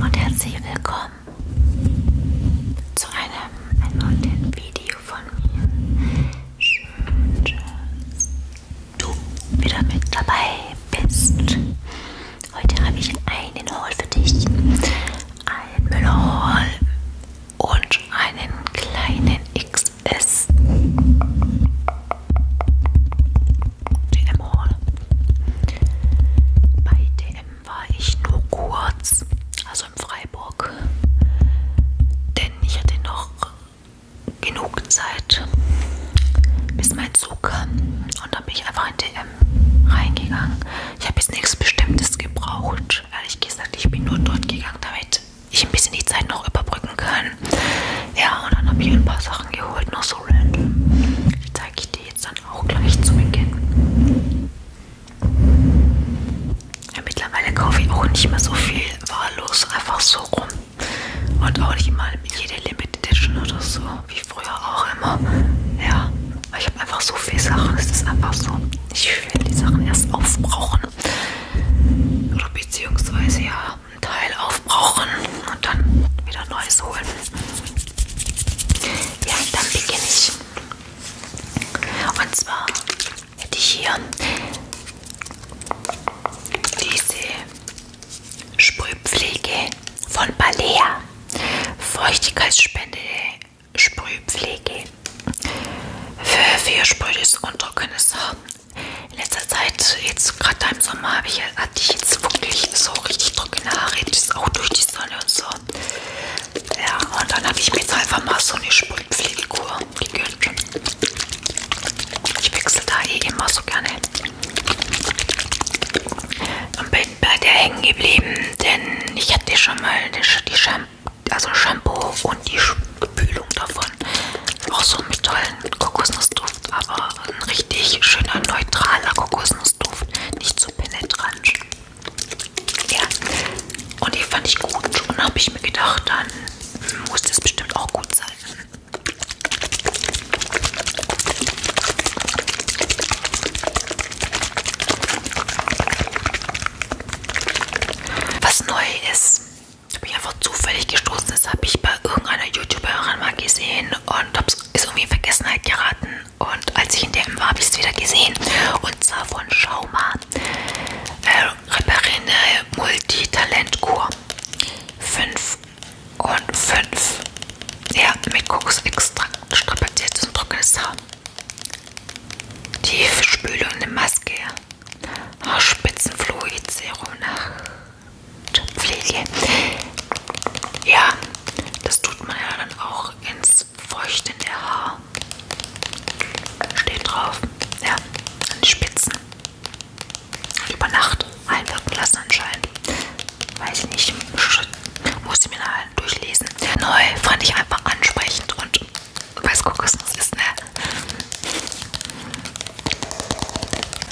Und herzlich willkommen zu einem, einem neuen Video von mir. Schön, dass du wieder mit dabei bist. Heute habe ich einen Haul für dich. Ein Müllhaul und Couch einen kleinen XS DM Hall. Bei DM war ich nur kurz, also in Freiburg, denn ich hatte noch genug Zeit, bis mein Zug kam und dann bin ich einfach in DM reingegangen. Ich habe jetzt nichts Bestimmtes gebraucht. Ehrlich gesagt, ich bin nur dort gegangen, damit ich ein bisschen die Zeit noch überbrücken kann. Ja, und dann habe ich ein paar Sachen geholt, noch so random. Die zeige ich dir jetzt dann auch gleich zu Beginn. Ja, mittlerweile kaufe ich auch nicht mehr so viel wahllos einfach so rum. Und auch nicht mal jede Limited Edition oder so, wie früher auch immer. Ja, ich habe einfach so viele Sachen. Es ist einfach so, ich will die Sachen erst aufbrauchen oder beziehungsweise ja einen Teil aufbrauchen und dann wieder neues holen. Ja, dann beginne ich. Und zwar hätte ich hier diese Sprühpflege von Balea. Feuchtigkeitsspende Sprühpflege für, für sprödes und trockenes Haar in letzter Zeit, jetzt gerade im Sommer, habe ich, hatte ich jetzt wirklich so richtig trockene Haare, jetzt auch durch die Sonne und so. Ja, und dann habe ich mir jetzt einfach mal so eine Sprühpflegekur gegönnt. Ich wechsle da eh immer so gerne. Und bin bei der hängen geblieben, denn ich hatte schon mal die, Sch die Shampoo, also Shampoo und die Spülung davon. Auch so mit tollen Kokosnussduft, aber ein richtig schöner, neutraler Kokosnussduft. Nicht zu so penetrant. Ja. Und die fand ich gut. Und habe ich mir gedacht, dann muss das bestimmt auch gut sein. Was neu ist, bin ich einfach zufällig gestoßen. Das habe ich bei irgendeiner YouTuberin mal gesehen und hab's, ist irgendwie in Vergessenheit geraten. Und als ich in DM war, habe ich es wieder gesehen. Und zwar von Schauma. Äh, Reparine äh, Multitalentkur. 5 und 5. Ja, mit Kokosextrakt, strapaziertes und trockenes Haar. Tiefspülung, eine Maske. Haarspitzenfluid, Serum Pflege. Ja, das tut man ja dann auch ins feuchtende Haar. Steht drauf. Ja, an die Spitzen. Über Nacht einwirken lassen anscheinend. Weiß ich nicht. Muss ich mir nachher durchlesen. Neu fand ich einfach ansprechend und was Kokosnuss ist, ne?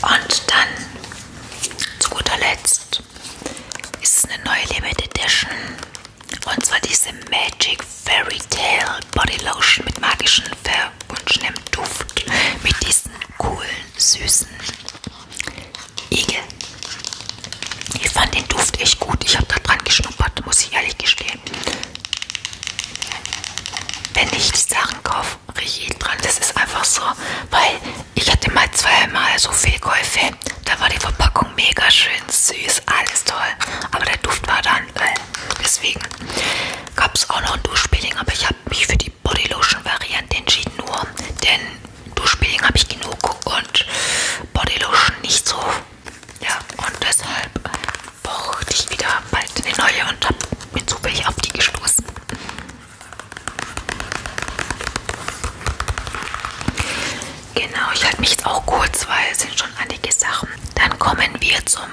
Und dann zu guter Letzt ist es eine neue Limited Edition. Und zwar diese Magic Fairy Tale Body Lotion mit magischen verwunschenem Duft. Mit diesen coolen, süßen Igel. Ich fand den Duft echt gut. Ich habe da dran geschnuppert, muss ich ehrlich gestehen. Wenn ich die Sachen kaufe, rieche ich dran. Das ist einfach so, weil ich hatte mal zweimal so Fehlkäufe. Da war die Verpackung mega schön süß, alles toll. Aber der Duft war dann, weil äh, deswegen gab es auch noch ein Duschpeeling. Aber ich habe mich für die Bodylotion-Variante entschieden, nur denn Duschpeeling habe ich genug und Bodylotion nicht so. Ja, und deshalb brauchte ich wieder bald eine neue und habe mir zufällig auf die gestoßen. Genau, ich halte mich jetzt auch kurz, weil es sind schon einige Sachen. Dann kommen wir zum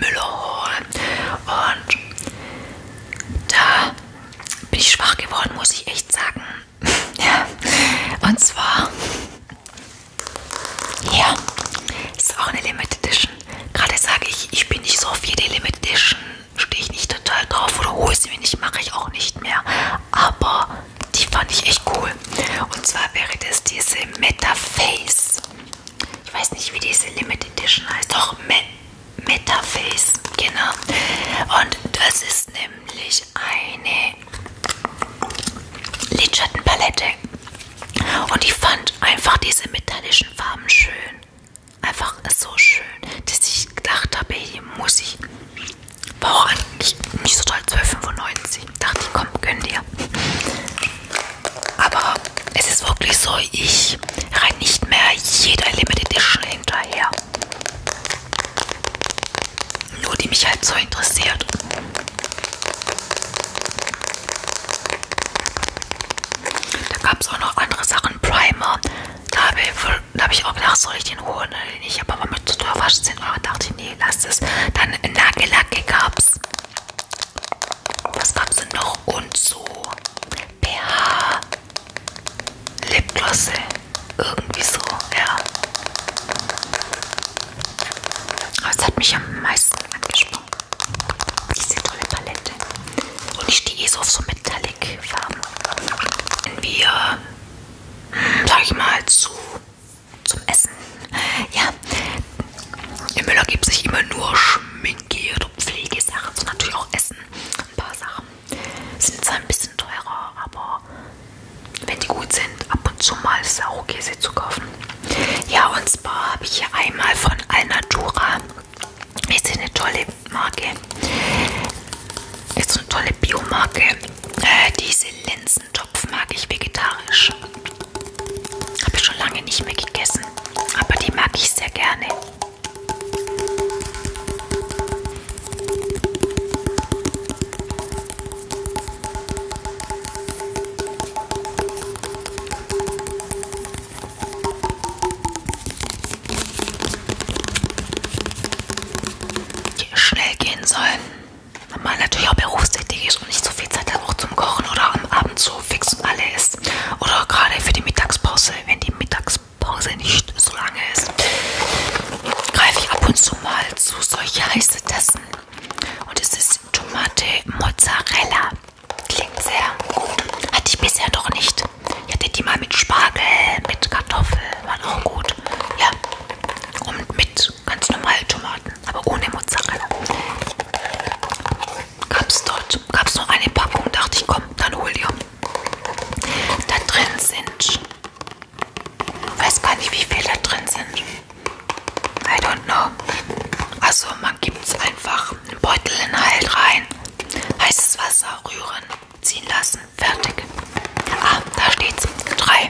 Müllerhall und da bin ich schwach geworden, muss ich echt sagen. ja. Und zwar ja, ist auch eine Limited Edition. Gerade sage ich, ich bin nicht so auf jede Limited Edition, stehe ich nicht total drauf oder hole sie mir nicht, mache ich auch nicht mehr. Aber die fand ich echt cool. Und zwar wäre das diese Metaface. Ich weiß nicht, wie diese Limited Edition heißt. Doch, Me Metaface. Genau. Und das ist nämlich eine Lidschattenpalette. Und ich fand einfach diese metallischen Farben schön. Einfach so schön, dass ich gedacht habe, hier muss ich. War auch eigentlich nicht so toll, 12,95. Dachte ich, komm, gönn dir. Aber es ist wirklich so, ich rein nicht mehr jeder Limited Edition hinterher. Nur die mich halt so interessiert. Da gab es auch noch andere Sachen, Primer. Da habe ich, hab ich auch gedacht, soll ich den holen oder nicht? Aber war mir zu teuer, war 10 Euro. Dachte ich, nee, lass es. Dann Nagellack gab es. Was gab es denn noch? Und so pH Lipglosse. Irgendwie so, ja. Das hat mich am meisten angesprochen. Diese tolle Palette. Und ich stehe eh so auf so Metallic-Farben. Wenn wir, hm, sag ich mal, zu, zum Essen. Ja, im Müller gibt es nicht immer nur Schminke oder Pflegesachen, sondern natürlich auch Essen. Ein paar Sachen sind zwar ein bisschen teurer, aber wenn die gut sind, ab und zu mal Sauerkäse zu kaufen. Ja, und zwar habe ich hier einmal von Alnatura. Ist eine tolle Marke. Ist eine tolle Biomarke. Äh, diese Linsentopf mag ich vegetarisch. Habe ich schon lange nicht mehr gegessen. Aber die mag ich sehr gerne schnell gehen sollen. Wenn man natürlich auch berufstätig ist und nicht so viel Zeit hat, auch zum Kochen oder am Abend so fix und alle ist. Oder gerade für die Mittagspause, wenn die Mittagspause nicht so lange ist, greife ich ab und zu mal zu solche heißen Tassen. Und es ist Tomate Mozzarella. Klingt sehr gut. Hatte ich bisher doch nicht. Ich hatte die mal mit Spargel, mit Kartoffel. War auch gut. Ja. Und mit ganz normalen Tomaten. Aber ohne Mozzarella. Gab es dort. Gab es noch eine Packung. Dachte ich, komm, dann hol dir. Da drin sind. Ich weiß gar nicht, wie viel da drin sind. I don't know. Also man gibt es einfach einen Beutelinhalt rein, heißes Wasser rühren, ziehen lassen, fertig. Ah, da steht's. Drei.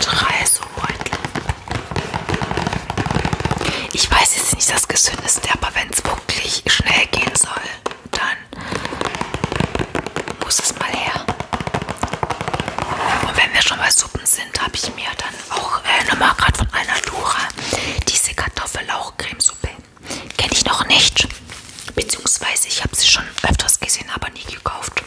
Drei so Beutel. Ich weiß jetzt nicht das Gesündeste, aber wenn es wirklich schnell gehen soll, dann muss es mal her. Und wenn wir schon bei Suppen sind, habe ich mir dann auch äh, nochmal gerade von Alnatura diese Kartoffellauchcremesuppe. Kenne ich noch nicht. Beziehungsweise ich habe sie schon öfters gesehen, aber nie gekauft.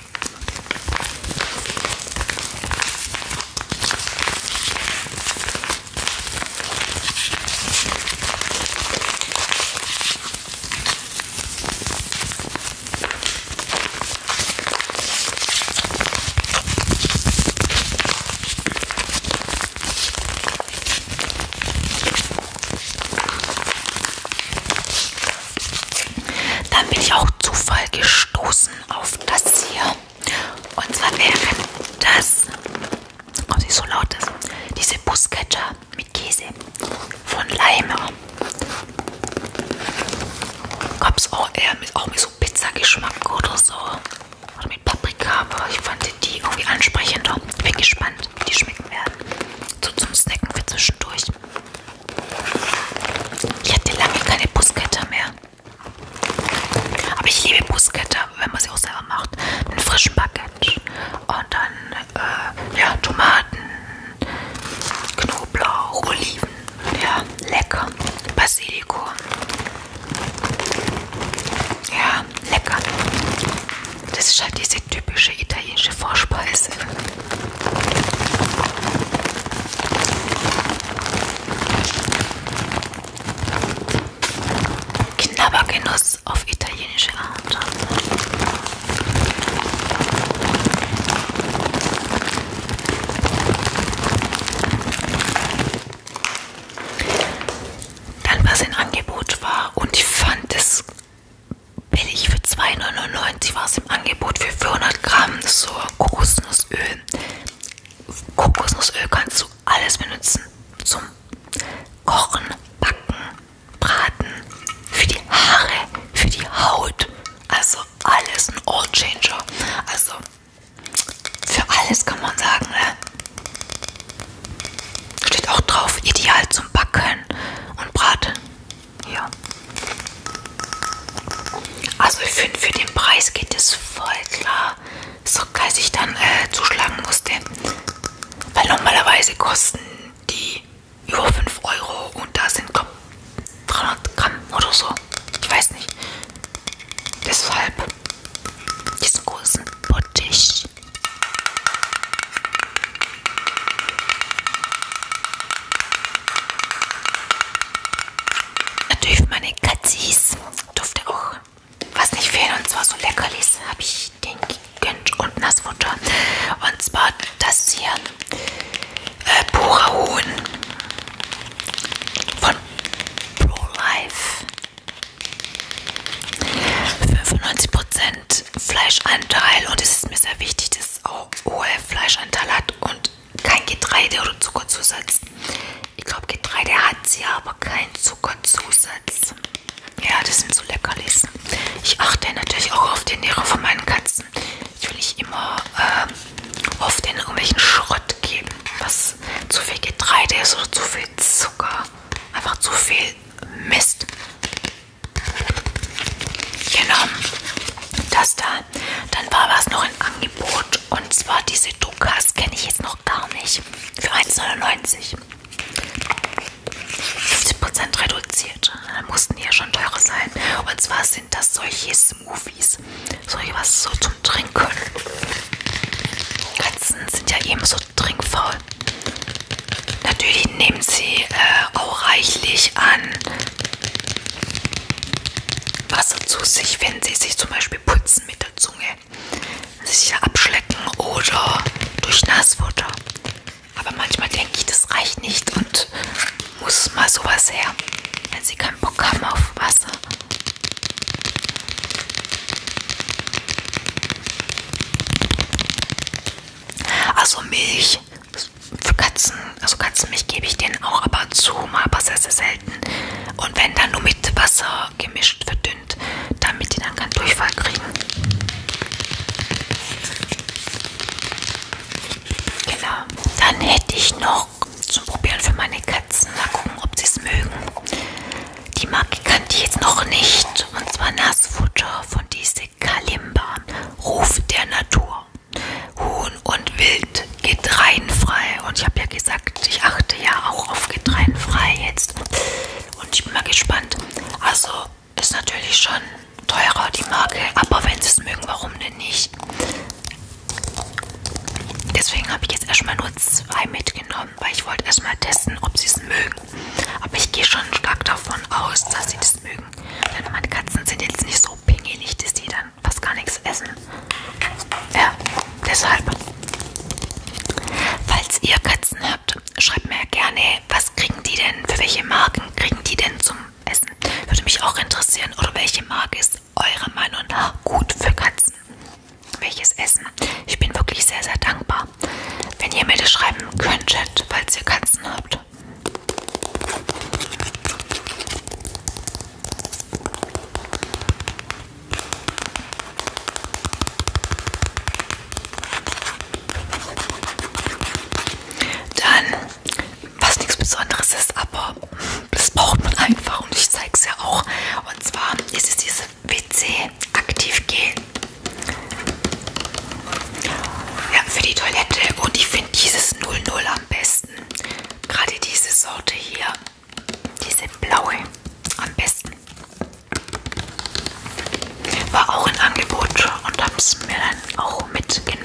Dann bin ich auch Zufall gestoßen auf das hier. Und zwar wäre das, ob oh, sie so laut ist, diese Buscatcher mit Käse von Leimer. Gab es auch eher mit, auch mit so Pizzageschmack oder so. Oder mit Paprika, aber ich fand die irgendwie ansprechender. Bin gespannt, wie die schmecken werden. So zum Snacken für zwischendurch. Ich hatte lange keine Buskette mehr. Aber ich liebe Buskette, wenn man sie auch selber macht. Mit frischem Baguette und dann äh, ja, Tomaten, Knoblauch, Oliven. Ja, lecker. Basilikum. Ja, lecker. Das ist halt diese typische italienische Vorspeise. Knabbergenuss auf italienische Art. Dann was in Angebot war und ich fand es billig für 2,99 war es im Angebot für 400 Gramm so Kokosnussöl. Kokosnussöl kannst du alles benutzen zum Kochen, Backen, Braten, für die Haare, für die Haut, also alles ein Old Changer. Also für alles kann man sagen, ne? Steht auch drauf, ideal zum Backen und Braten. Ja. Also ich finde, für den Preis geht es voll klar. So geil, ich dann äh, zuschlagen musste. Weil normalerweise kosten die über 5 Euro und da sind glaub, 300 Gramm oder so. Ich weiß nicht. Deshalb diesen großen Bottich. Natürlich für meine Katzis durfte auch was nicht fehlen und zwar so Leckerlis habe ich den gegönnt und Nassfutter und zwar das hier äh, Purahuhn von ProLife. 95% Fleischanteil und es ist mir sehr wichtig, dass es auch hohe Fleischanteil hat und kein Getreide oder Zuckerzusatz. Ich glaube, Getreide hat sie, aber kein Zuckerzusatz. Ja, das sind so Leckerlis. Ich achte natürlich auch auf die Ernährung von meinen Katzen ich will nicht immer ähm, oft in irgendwelchen Schrott geben, was zu viel Getreide ist oder zu viel Zucker, einfach zu viel Mist. Genau, das da. Dann war was noch im Angebot und zwar diese Dukas kenne ich jetzt noch gar nicht. Für 1,99. 50% reduziert mussten die ja schon teurer sein. Und zwar sind das solche Smoothies. Solche was so zum Trinken. Katzen sind ja eben so trinkfaul. Natürlich nehmen sie äh, auch reichlich an Wasser zu sich, wenn sie sich zum Beispiel putzen mit der Zunge. Sich abschlecken oder durch Nassfutter. Aber manchmal denke ich, das reicht nicht und muss mal sowas her, wenn sie keinen Bock haben auf Wasser. Also Milch für Katzen, also Katzenmilch gebe ich denen auch aber zu, mal aber sehr, sehr selten. Und wenn dann nur mit Wasser gemischt, verdünnt, damit die dann keinen Durchfall kriegen. Genau. Dann hätte ich noch zum Probieren für meine Katzen. Mal gucken, ob sie es mögen. Die Marke kannte ich jetzt noch nicht. Und zwar Nassfutter von diese Kalimba. Ruf der Natur. Huhn und Wild. Getreienfrei. Und ich habe ja gesagt, ich achte ja auch auf Getreienfrei jetzt. Und ich bin mal gespannt. Also ist natürlich schon teurer, die Marke. Aber wenn sie es mögen, warum denn nicht? Deswegen habe ich jetzt erstmal nur zwei mitgenommen, weil ich wollte erstmal testen, ob sie es mögen. Aber ich gehe schon stark davon aus, dass sie das mögen. Denn meine Katzen sind jetzt nicht so pingelig, dass die dann fast gar nichts essen. Ja, deshalb. Falls ihr Katzen habt, schreibt mir gerne, was kriegen die denn, für welche Marken kriegen die denn zum essen. Würde mich auch interessieren. Oder welche Marke ist eurer Meinung nach gut für Katzen? Welches Essen? Ich bin wirklich sehr, sehr dankbar, wenn ihr mir das schreiben könntet, falls ihr Katzen habt. Dann was nichts Besonderes ist, aber das braucht man einfach und ich zeige es ja auch. Und zwar ist es diese WC-Aktiv-Gel. Ja, für die Toilette und ich finde dieses 00 am besten. Gerade diese Sorte hier, diese blaue am besten. War auch ein Angebot und habe es mir dann auch mitgenommen.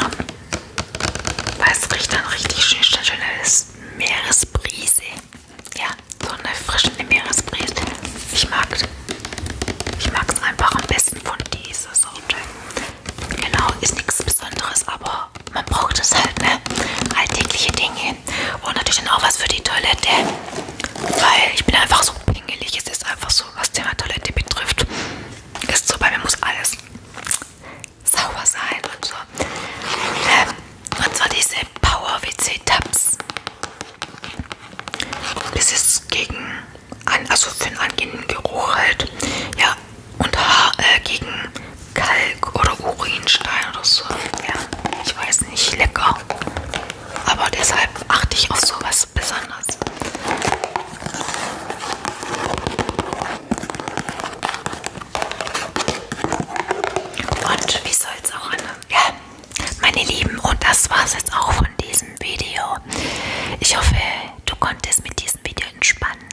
Weil es riecht dann richtig schön, schön, schön das Meeresbrise. Ja, so eine frische Meeresbrise. Ich mag Ich mag es einfach am besten von dieser Sorte. Genau, ist nichts Besonderes, aber man braucht es halt, ne? Alltägliche Dinge. Und natürlich dann auch was für die Toilette. Weil ich bin einfach so pingelig. Es ist einfach so, was Thema Toilette betrifft. Ist so, bei mir muss alles sauber sein und so. Ähm, und zwar diese Power WC Tabs. Das ist gegen, an, also für einen angenehmen Geruch halt. Ja, und Haar äh, gegen Kalk oder Urinstein oder so. Ja, ich weiß nicht, lecker. Aber deshalb achte ich auf sowas besonders. Und wie soll's auch an? Ja, meine Lieben, und das war's jetzt auch von diesem Video. Ich hoffe, du konntest mit diesem Video entspannen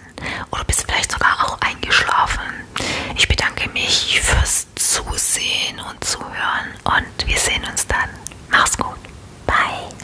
oder bist vielleicht sogar auch eingeschlafen. Ich bedanke mich fürs Zusehen und Zuhören und wir sehen uns dann. Mach's gut. Bye.